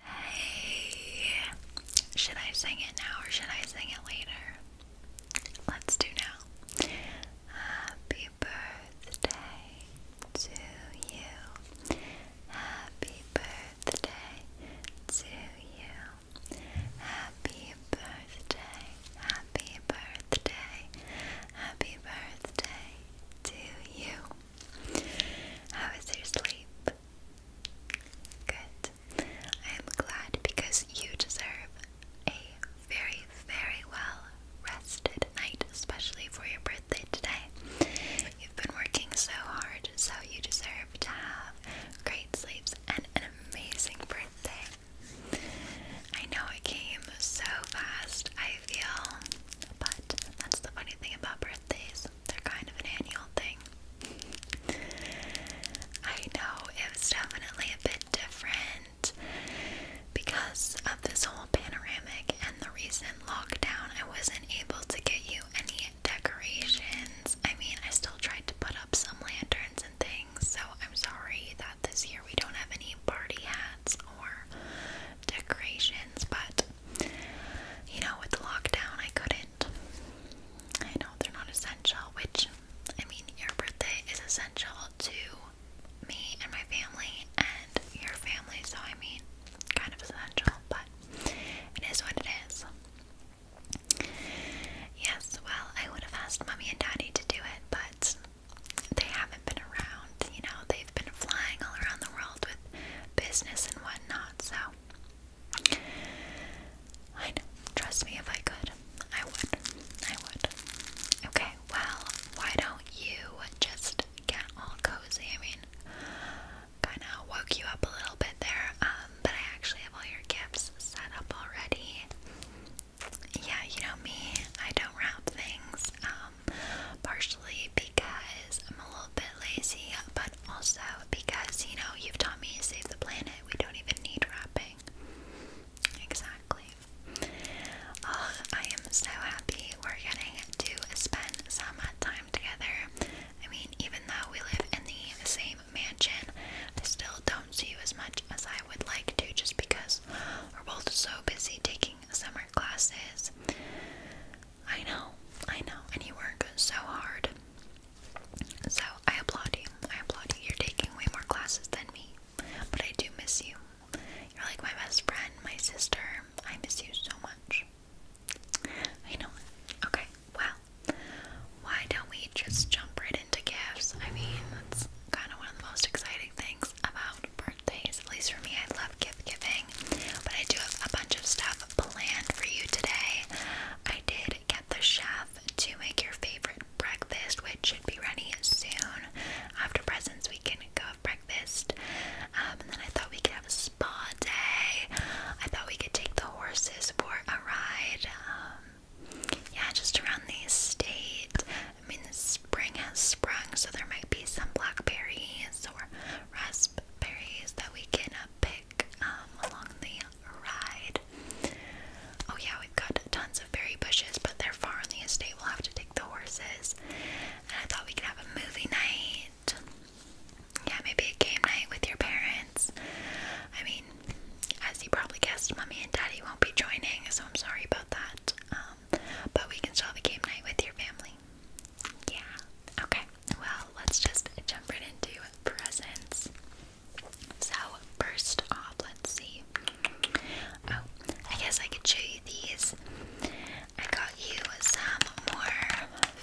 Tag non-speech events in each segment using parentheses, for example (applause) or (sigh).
Hey, should I sing it now or should I sing it later? Let's do now. Happy birthday to you. Happy birthday to you. Happy birthday. Happy birthday. Happy birthday to you. How is your sleep? Good. I am glad because you deserve a very, very well rested night, especially for your birthday today. You've been working so hard, so you deserve to have great sleeps and an amazing birthday. I know it came so fast, I feel, but that's the funny thing about birthdays. They're kind of an annual thing. I know it was definitely a bit different because of this whole panoramic and the recent lockdown. I wasn't able to get you any decorations. I mean, I still tried to put up some lanterns and things, so I'm sorry that this year we don't have any party hats or decorations, but you know, with the lockdown, I couldn't. I know they're not essential, which, I mean, your birthday is essential to me and my family and your family, so I mean, kind of essential, but it is what it is. Yes, well, I would have asked mommy and daddy to do it, but they haven't been around. You know, they've been flying all around the world with business and whatnot, so I know. Trust me, if I could, I would. I would. Okay, well, why don't you just get all cozy? I mean, kind of woke you up a little bit there, um, but I actually have all your gifts set up already. Yeah, you know me, I don't wrap things, um, partially because I'm a little bit lazy, but but also because you know you've taught me to save the planet, we don't even need wrapping. Exactly. Oh, I am so happy we're getting to spend some time together. I mean, even though we live in the same mansion, I still don't see you as much as I would like to just because we're both so busy taking summer classes. I know, I know, and you work so hard. So I applaud you. I applaud you. You're taking way more classes than me, but I do miss you. You're like my best friend, my sister. I miss you so much. I know. Okay, well, why don't we just jump right into gifts? I mean, that's kind of one of the most exciting things about birthdays. At least for me, I love gift giving but I do have a bunch of stuff planned for you today. I did get the chef to make your favorite breakfast, which should be ready soon. After presents, we can go have breakfast. Um, and then I thought we could have a spa day. I thought we could take the horses for a ride. Um, yeah, just around the estate. I mean, spring has sprung, so there might be some blackberries or raspberries berries that we can uh, pick um, along the ride. Oh yeah, we've got tons of berry bushes, but they're far on the estate. We'll have to take the horses. And I thought we could have a movie night. Yeah, maybe a game night with your parents. I mean, as you probably guessed, mommy and daddy won't be joining, so I'm sorry about that. Um, but we can still have a game night with your family. Yeah. Okay. Well, let's just jump right into presents. So, first off, let's see. Oh, I guess I could show you these. I got you some more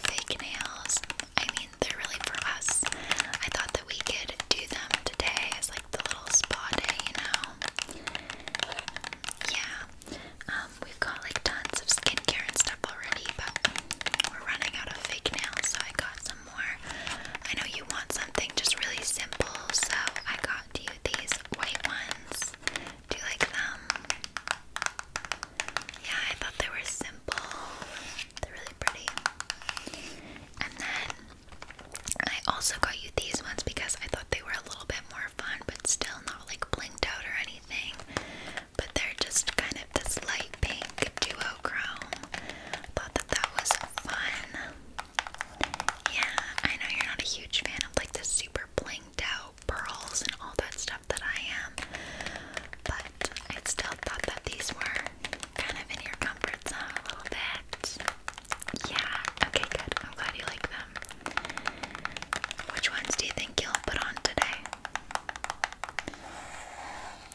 fake nails. I mean, they're really for us. I thought that we could do them today as like the little spa day, you know? Yeah. Um, um, we've got like tons of skincare and stuff already, but we're running out of fake nails, so I got some more. I know you want something just really simple, so I got you these white ones. Do you like them? Yeah, I thought they were simple. They're really pretty. And then I also got you these ones because I thought they were a little bit more fun, but still not like blinked out or but they're just kind of this light pink duochrome. Thought that that was fun. Yeah, I know you're not a huge fan of like the super blinged out pearls and all that stuff that I am, but I still thought that these were kind of in your comfort zone a little bit. Yeah, okay, good. I'm glad you like them. Which ones do you think you'll put on today?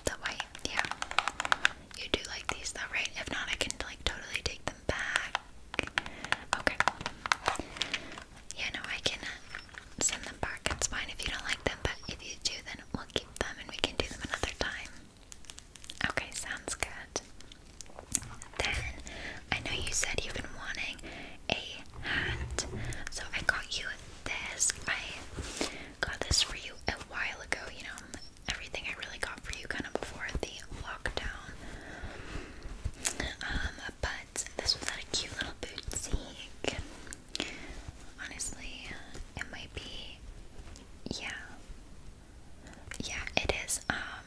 That way, yeah. You do like these though, right? If not, I can like totally take them back. Okay. Yeah, no, I can uh, send them back. It's fine if you don't like them, but if you do, then we'll keep them and we can do them another time. Okay, sounds good. Then I know you said you've been wanting a hat. So I got you this. I got this for you a while ago, you know. Everything I really got for you kind of before the lockdown. Um, but this was at a cute little boutique. Honestly, it might be yeah. Yeah, it is. Um,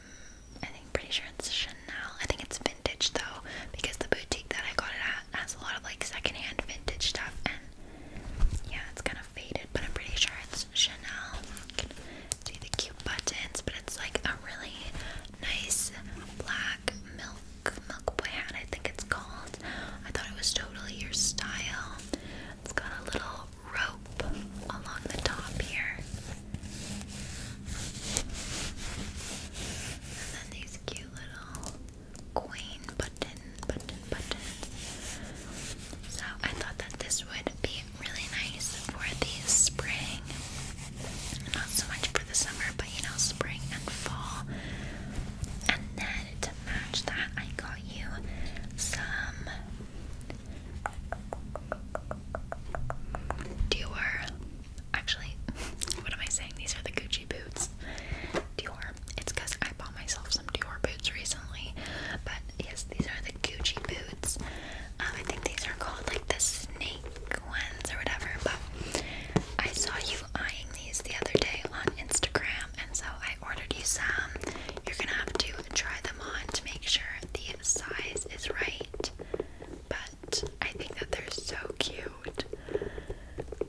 I think pretty sure it's Chanel. I think it's vintage though, because the boutique that I got it at has a lot of like secondhand vintage stuff, and yeah, it's kind of faded, but I'm pretty sure it's Chanel. see the cute buttons, but it's like a really nice black milk milk hat. I think it's called. I thought it was totally your style. It's got a little rope along the top here. And then these cute little coin button, button, button. So I thought that this would be really nice for the spring. Not so much for the summer, but you know, spring and fall. And then to match that, I got you some Dior Actually, (laughs) what am I saying? These are the Gucci boots. Dior. It's because I bought myself some Dior boots recently. But yes, these are the Gucci boots. Um, I think these are called like the snake ones or whatever. But I saw you eyeing these the other day on Instagram, and so I ordered you some. You're gonna have to try them on to make sure the size is right. But I think that they're so cute.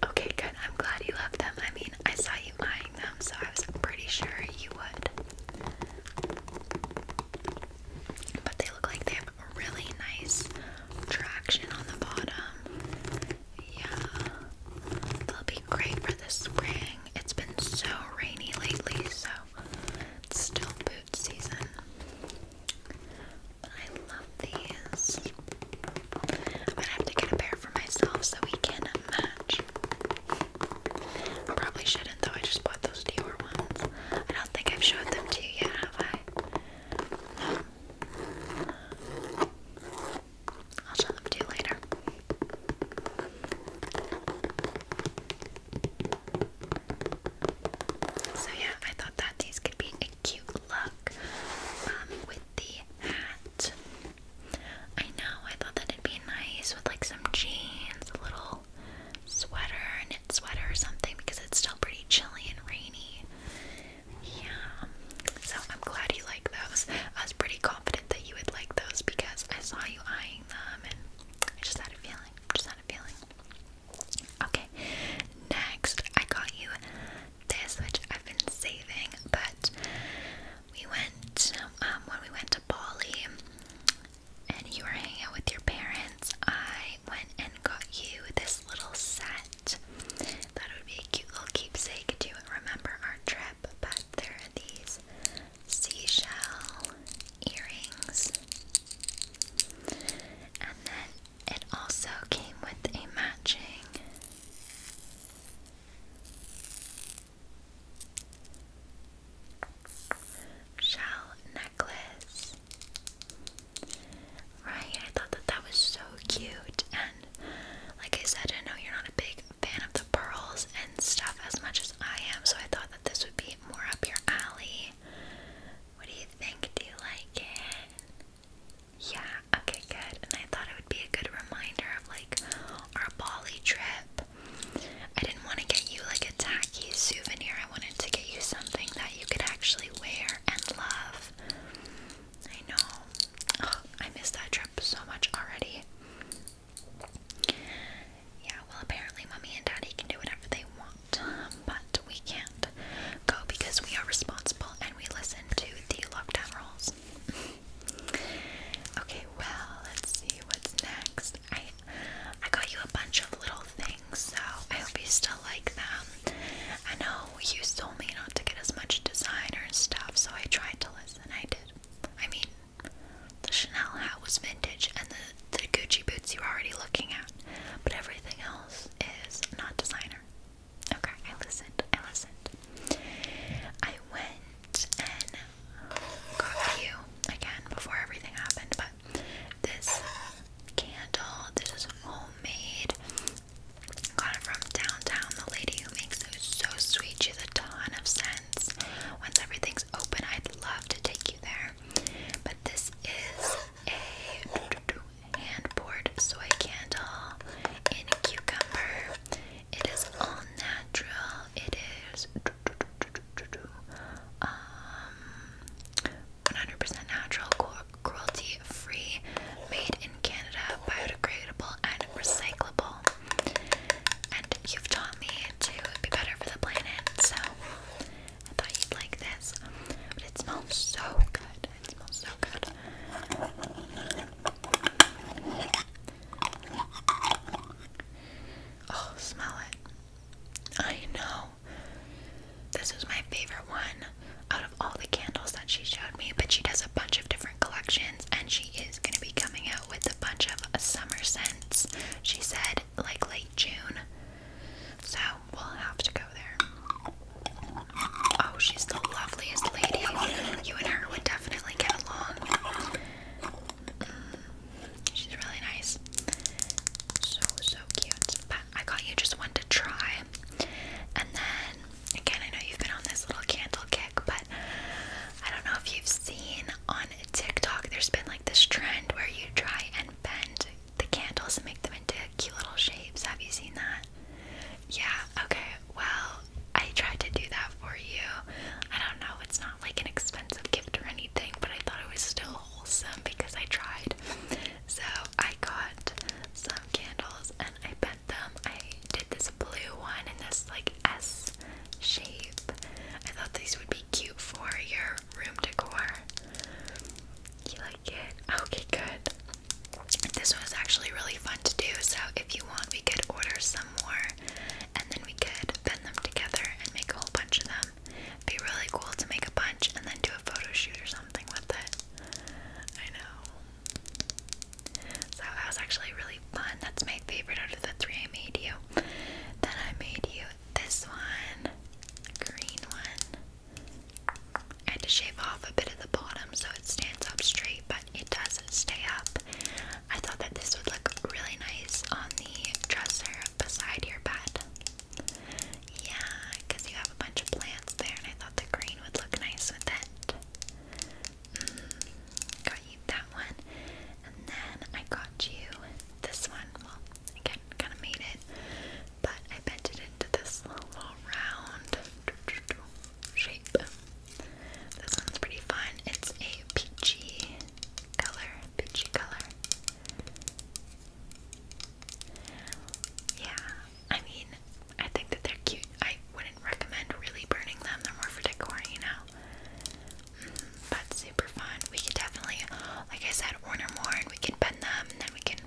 Okay, good. I'm glad you love them. I mean, I saw you buying them, so I was pretty sure you would. But they look like they have really nice traction on the bottom. Yeah. They'll be great for the spring. It's been so rainy lately, so still boot season. I love these. I'm gonna have to get a pair for myself so we can match. probably shouldn't though, I just bought those Dior ones. I don't think I've showed them to you yet, have I? I'll show them to you later. So yeah, I thought that these could be cute look um, with the hat. I know, I thought that it'd be nice with like some jeans, a little sweater, knit sweater or something because it's still pretty chilly and rainy. Yeah, so I'm glad you like those. I was pretty confident that you would like those because I saw you eyeing them and I just had a feeling. Just had a feeling. Okay, next I got you this, which I've been saving, but we went um, when we went to Bali and you were hanging out with your parents. I went and got you this little set. that would be a cute little keepsake to remember our trip, but there are these seashell earrings. And then it also came with a matching shell necklace. Right, I thought that that was so cute. And like I said, I know you're not a big fan of the pearls and stuff as much as I am, so I thought that this would be more up your alley. What do you think? Do you like it? Yeah, okay, good. And I thought it would be a good reminder of like our Bali trip. I didn't want to get you like a tacky souvenir. I wanted to get you something that you could actually wear and love. I know. Oh, I missed that trip so much already. Yeah, well, apparently, mommy and daddy can do whatever they want, but we can't go because we are responsible and we listen to the lockdown rules. (laughs) okay, well, let's see what's next. I I got you a bunch of little things, so I hope you still like them. I know you told me not to get as much designer stuff, so I tried to listen. I did. I mean, the Chanel hat was vintage, and the the Gucci boots you were already looking at, but everything else is not designer. Okay, I listened. I listened. I went and got you again before everything happened, but this candle, this is homemade. Got it from downtown. The lady who makes it is so sweet. She's a ton of sense. Once everything's open, I'd love to take you there. But this is a hand poured soy candle in cucumber. It is all natural. It is um 100 natural, cruelty free, made in Canada, biodegradable and recyclable. And you've taught me to be better for the planet, so I thought you'd like this. But it smells so good. It smells so good. Oh, smell it. I know. This is my favorite one out of all the candles that she showed me, but she does a bunch of different collections and she is going to be coming out with a bunch of summer scents. She said like late June. So, we'll have to go there. Oh, she's the loveliest lady. You and her would definitely get along. Mm, she's really nice. So, so cute. But I got you just one to try. And then, again, I know you've been on this little candle kick, but I don't know if you've seen on TikTok, there's been like this trend where you try and bend the candles and make them into cute little shapes. Have you seen that? Yeah, okay. Well, I tried to do that for you. I don't know, it's not like an expensive gift or anything, but I thought it was still wholesome because I tried. So I got some candles and I bent them. I did this blue one and this like S shape. I thought these would be cute for your room decor. You like it? Okay, good. This was actually really fun to do, so if you want, we could order some more and then we could bend them together and make a whole bunch of them. It'd be really cool to make a bunch and then do a photo shoot or something with it. I know. So that was actually really fun. That's my favorite out of the three I made you. Then I made you this one, green one and to shave off a bit of the bottom so it stands up straight but it does stay up. I thought that this would look really nice on the dresser beside your bed. Yeah, because you have a bunch of plants there and I thought the green would look nice with it. Mm, got you that one. And then I got you this one. Well, again, kind of made it, but I bent it into this little round shape. This one's pretty fun. It's a peachy color. Peachy color. Yeah, I mean, I think that they're cute. I wouldn't recommend really burning them. They're more for decor, you know. Mm, but super fun. We could definitely, like I said, order more, and we can bend them, and then we can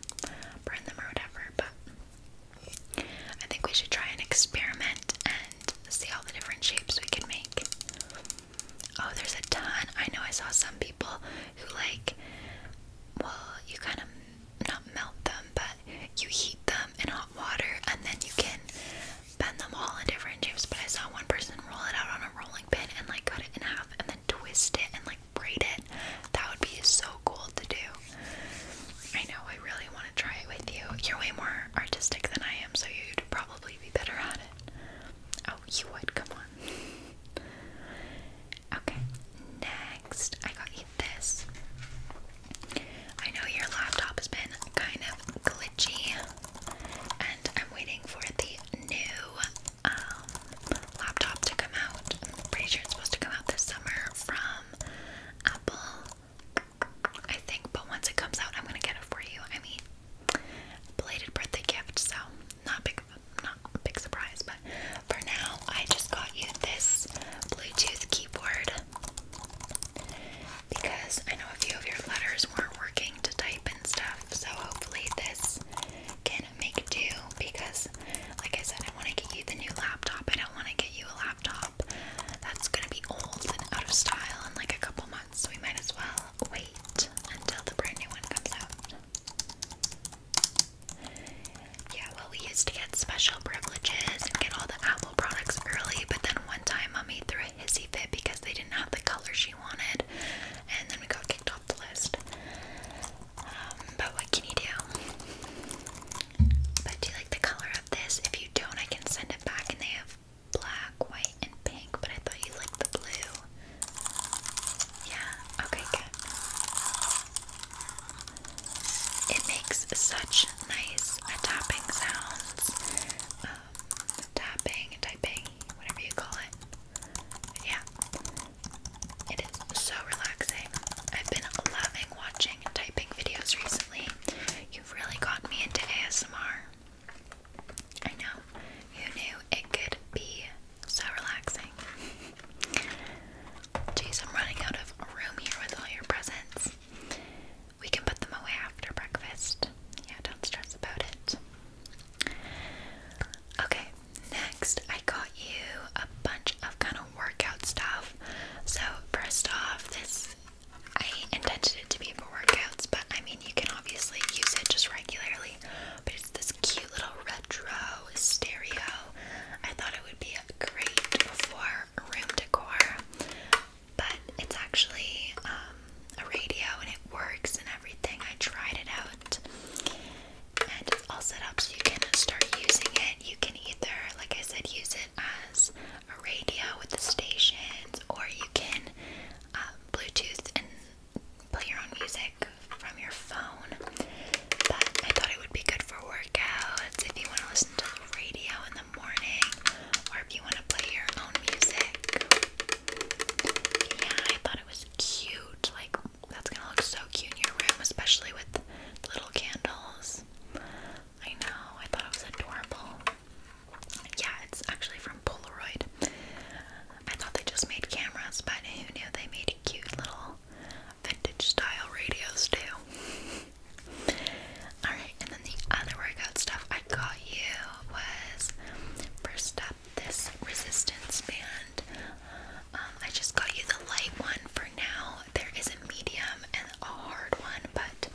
burn them or whatever. But I think we should try an experiment and see all the different shapes we can make. Oh, there's a ton. I know I saw some people who, like, well, you kind of not melt them, but you heat them in hot water and then you can bend them all in different shapes. But I saw one person roll it out on a rolling pin and, like, cut it in half and then twist it and, like, braid it. That would be so cool to do. I know, I really want to try it with you. You're way more artistic than I am, so you'd probably be better at it. Oh, you would, come on. Okay, next, I got you this. I know your laptop has been kind of glitchy, and I'm waiting for the new um, laptop to come out. I'm pretty sure it's supposed to come out this summer from um, apple, I think. But once it comes out, I'm gonna get it for you. I mean, belated birthday gift, so not big, not a big surprise. But for now, I just got you this Bluetooth keyboard because I know a few of your letters weren't working to type and stuff. So hopefully this can make do because, like I said, I want to get you the new laptop. I don't want to get you a laptop laptop that's gonna be old and out of style in like a couple months, so we might as well wait until the brand new one comes out. Yeah, well, we used to get special privileges and get all the Apple products early, but then one time Mommy threw a hissy fit because they didn't have the color she wanted, and then we got kicked off the list. Um, but what can you do? But do you like the color of this? If you don't, I can send it back and they have black, white, and pink, but I thought you liked the blue. Yeah, okay, good. It makes such nice tapping sounds. Um, tapping, typing, whatever you call it. Yeah. It is so relaxing. I've been loving watching and typing videos recently. You've really gotten me into ASMR. I know. Who knew it could be so relaxing? Jeez, I'm running out of room here with all your presents. We can put them away after breakfast. Yeah, don't stress about it. Okay, next I got you a bunch of kind of workout stuff. So first off, this I intended it to be for workouts, but I mean you can obviously use it just regularly. But it's this cute little retro stereo. I thought it would be great for room decor, but it's actually um, a radio and it works and everything. I tried it out, and it's all set up so you can start using it. You can can either, like I said, use it as a radio with the stations, or you can um, Bluetooth and play your own music from your phone. But I thought it would be good for workouts if you want to listen to the radio in the morning, or if you want to play your own music. Yeah, I thought it was cute. Like, that's gonna look so cute in your room, especially with little candles. I know, I thought it was adorable. Yeah, it's actually from Polaroid. I thought they just made cameras, but who knew they made cute little vintage style radios too. (laughs) Alright, and then the other workout stuff I got you was first up this resistance band. Um, I just got you the light one for now there is a medium and a hard one, but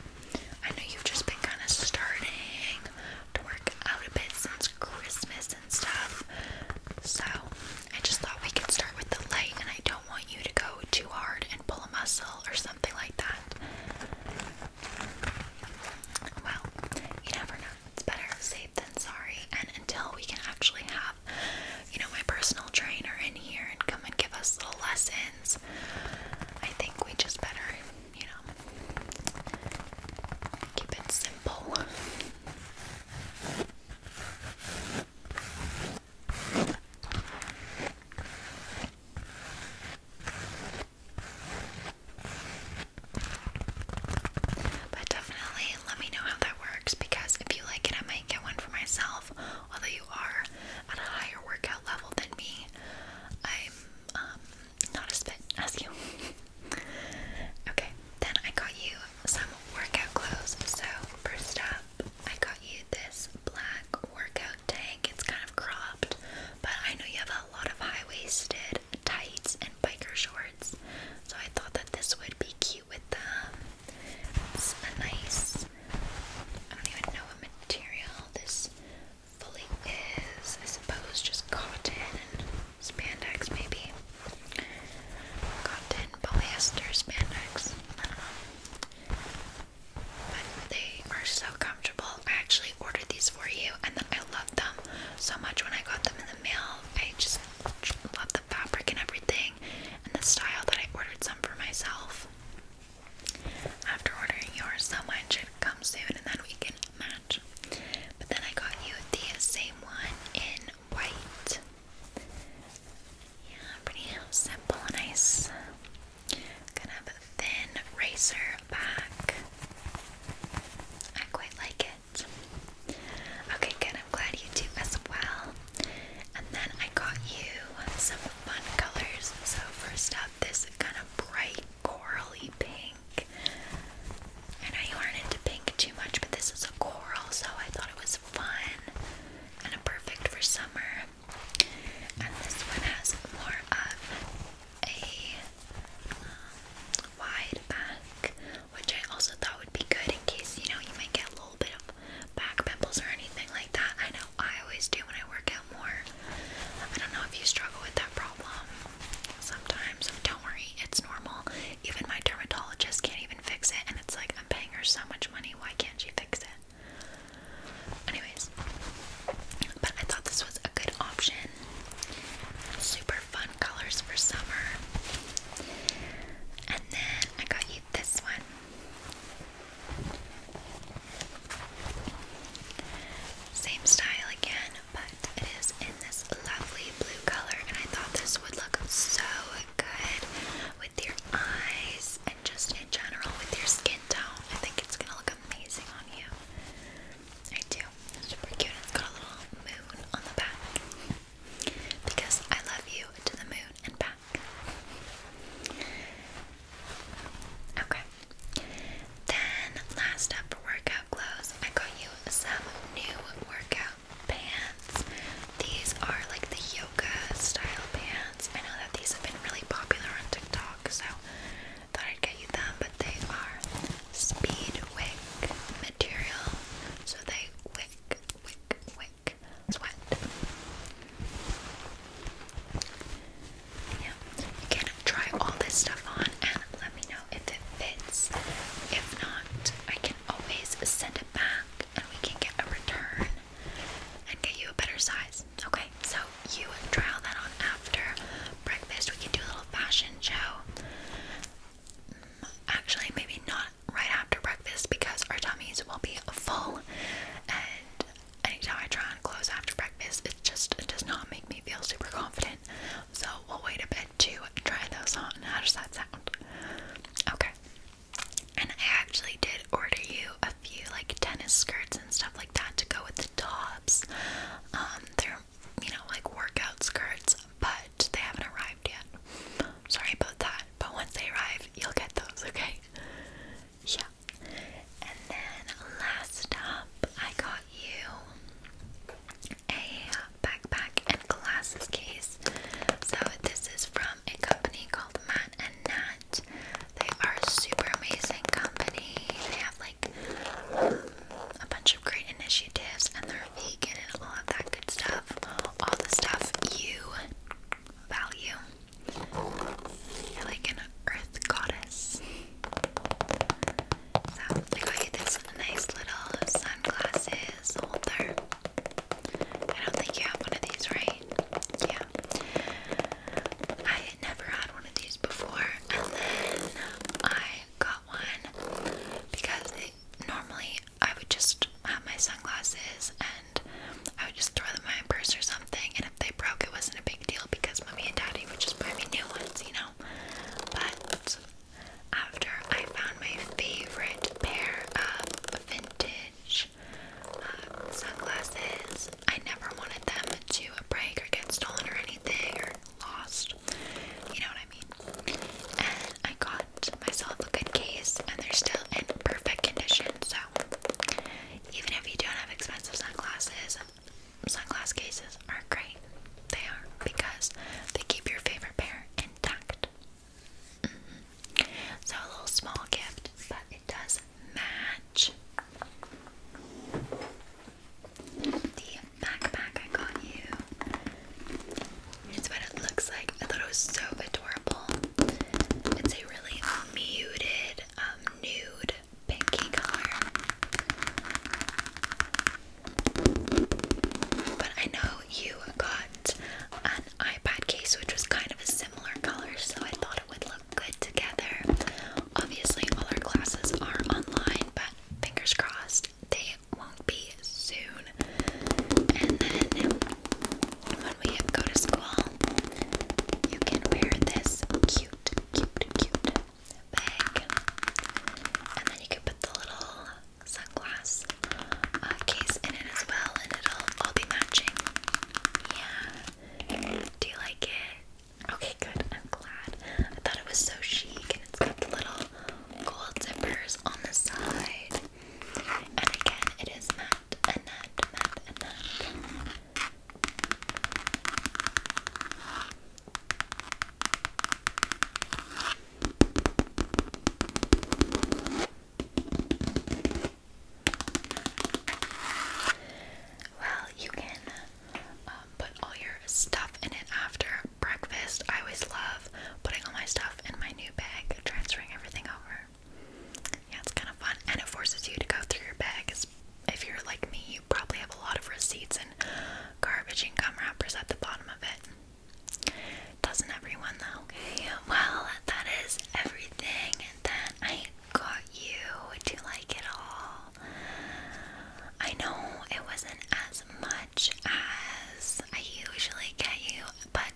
I know you've just been kind of starting to work out a bit since Christmas and stuff. So I just thought we could start with the light, and I don't want you to go too hard and pull a muscle or something like that. Well, you never know. It's better safe than sorry. And until we can actually have you know, my personal trainer in here and come and give us little lessons. I think we just better, you know, keep it simple. But definitely let me know how that works because if you like it, I might get one for myself although you are at a higher workout level than me, I'm um, not as fit as you. (laughs) okay, then I got you some workout clothes. So, first up, I got you this black workout tank. It's kind of cropped, but I know you have a lot of high waisted tights and biker shorts, so I thought that this would be cute with them. It's a nice, I don't even know what material this fully is. I suppose just cotton and spandex, maybe. Cotton, polyester, spandex. I don't know. But they are so comfortable. I actually ordered these for you, and then I loved them so much when I got them in the mail. I just love the fabric and everything, and the style that I ordered some for myself after ordering yours, so mine should come soon and then we can match. But then I got you the same one in white. Yeah, pretty simple, nice kind of thin racer back. I quite like it. Okay, good. I'm glad you do as well. And then I got you some fun colors. So, first up, this kind of bright corally pink. I know you aren't into pink too much, but this is a coral, so I thought it was fun and perfect for summer. And this one has more of a um, wide back, which I also thought would be good in case you know you might get a little bit of back pimples or anything like that. I know I always do when I work out more. I don't know if you struggle with that problem sometimes. Don't worry, it's normal. Even my dermatologist can't even fix it, and it's like I'm paying her so much money. Why can't she fix it? Anyways, but I thought this was a good option. Super fun colors for summer. And then I got you this one. Same style again, but it is in this lovely blue color, and I thought this would look so good with your eyes and just in general with your skin tone. I think it's gonna look amazing on you. I do. super cute. It's got a little moon on the back. Because I love you to the moon and back. Okay. Then, last up workout clothes, I got you some new workout pants. These are like the yoga style pants. I know that these have been really popular on TikTok, so thought I'd get you them, but they are speed wick material. So they wick, wick, wick, black sweat. Yeah, you can try all this stuff on and let me know if it fits. If not, I can always send it back and we can get a return and get you a better size. Okay, so you trial that on after breakfast. We can do a little fashion show. Actually, maybe not right after breakfast because our tummies will be full anytime I try on clothes after breakfast, it just does not make me feel super confident. So we'll wait a bit to try those on. How does that sound? Okay. And I actually did order you a few like tennis skirts and stuff like that to go with the tops. Um, they're you know like workout skirts, but they haven't arrived yet. Sorry about that, but once they arrive, you'll get those, okay? Yeah. And then last up, I got you a backpack and glasses case. So this is from a company called Matt and Nat. They are a super amazing company. They have like a bunch of great initiatives and they're vegan and all of that good stuff. All the stuff you value. You're like an earth goddess. So I got you this nice little sunglasses holder. I don't think you have one of these, right? Yeah. I never had one of these before, and then I got one because normally I would just have my sunglasses I would just throw them in my purse or something. And if they broke, it wasn't a big deal because mommy and daddy would just buy me new ones, you know. But after I found my favorite pair of vintage uh, sunglasses, I never wanted them to break or get stolen or anything or lost. You know what I mean? And I got myself a good case, and they're still in perfect condition. So even if you don't have expensive sunglasses, sunglass cases are great. They are because they keep your favorite pair intact. Mm-hmm. So a little small gift, but it does match. The backpack I got you. It's what it looks like. I thought it was so adorable. It's a really um, muted, um, nude pinky color. But I know you got an iPad case which was kind of a similar color, so I thought it would look good together. Obviously, all our classes are online, but fingers crossed they won't be soon. And then when we go to school, you can wear this cute, cute, cute bag, and then you can put the little sunglass uh, case in it as well, and it'll all be matching. Yeah. Do you like it? Okay, good. I'm glad. I thought it was so chic, and it's got the little gold zippers on the side. And again, it is well, you can um, put all your stuff in it after breakfast. I always love putting all my stuff in my new bag, transferring everything over. Yeah, it's kind of fun, and it forces you to go through your bag. If you're like me, you probably have a lot of receipts and garbage and gum wrappers at the bottom of it. Doesn't everyone though? Okay, well, that is everything that I got you. Do you like it all? I know it wasn't as much as I usually get you, but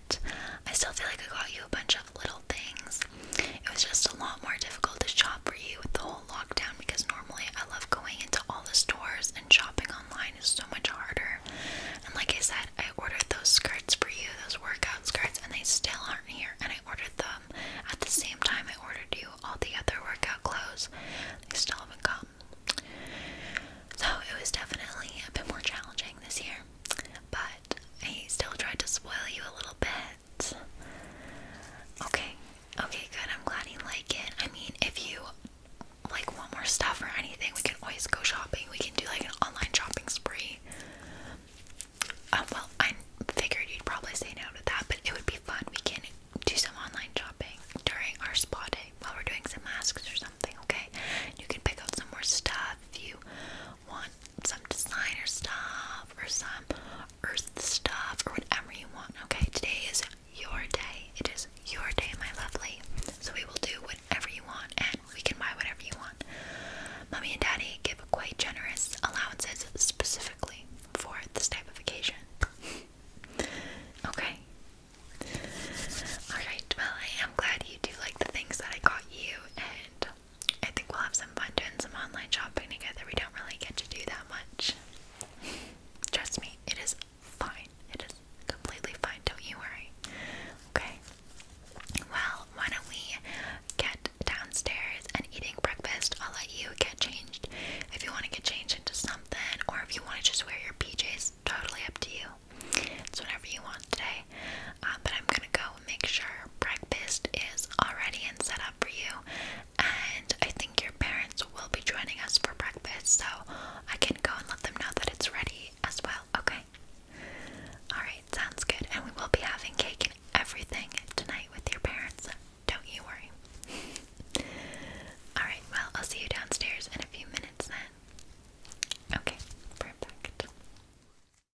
I still feel like I got you a bunch of little things. It was just a lot more difficult to shop for you with the whole lockdown because normally I love going into all the stores and shopping online is so much harder. And like I said, I ordered those skirts for you, those workout skirts, and they still aren't here. And I ordered them at the same time I ordered you all the other workout clothes. They still haven't come. So it was definitely a bit more challenging this year. But but I still tried to spoil you a little bit. Okay, okay, good. I'm glad you like it. I mean, if you like want more stuff or anything, we can always go shopping. We can do like an online shopping spree. Uh, well, I figured you'd probably say no to that, but it would be fun. We can do some online shopping during our spa day while we're doing some masks or something, okay? You can pick out some more stuff if you want some designer stuff or some earth stuff or whatever you want. Okay, today is your day. It is your day, my lovely. So we will do whatever you want and we can buy whatever you want. Mommy and Daddy give quite generous allowances specifically for this type of occasion. okay. Alright, well I am glad you do like the things that I got you and I think we'll have some fun doing some online shopping together. We don't really get to do that much. (laughs) Trust me, it is fine. It is completely fine. Don't you worry. Okay. Well, why don't we get downstairs and eating breakfast? I'll let you get changed if you want to get changed into something, or if you want to just wear your PJs. Totally up to you. It's whatever you want today. Um, but I'm gonna go make sure breakfast is already and set up for you. And I think your parents will be joining us for breakfast, so I can go and let them know that it's ready as well, okay? Alright, sounds good. And we will be having cake and everything tonight with your parents. Don't you worry. (laughs) Alright, well, I'll see you downstairs in a few minutes then. Okay, perfect.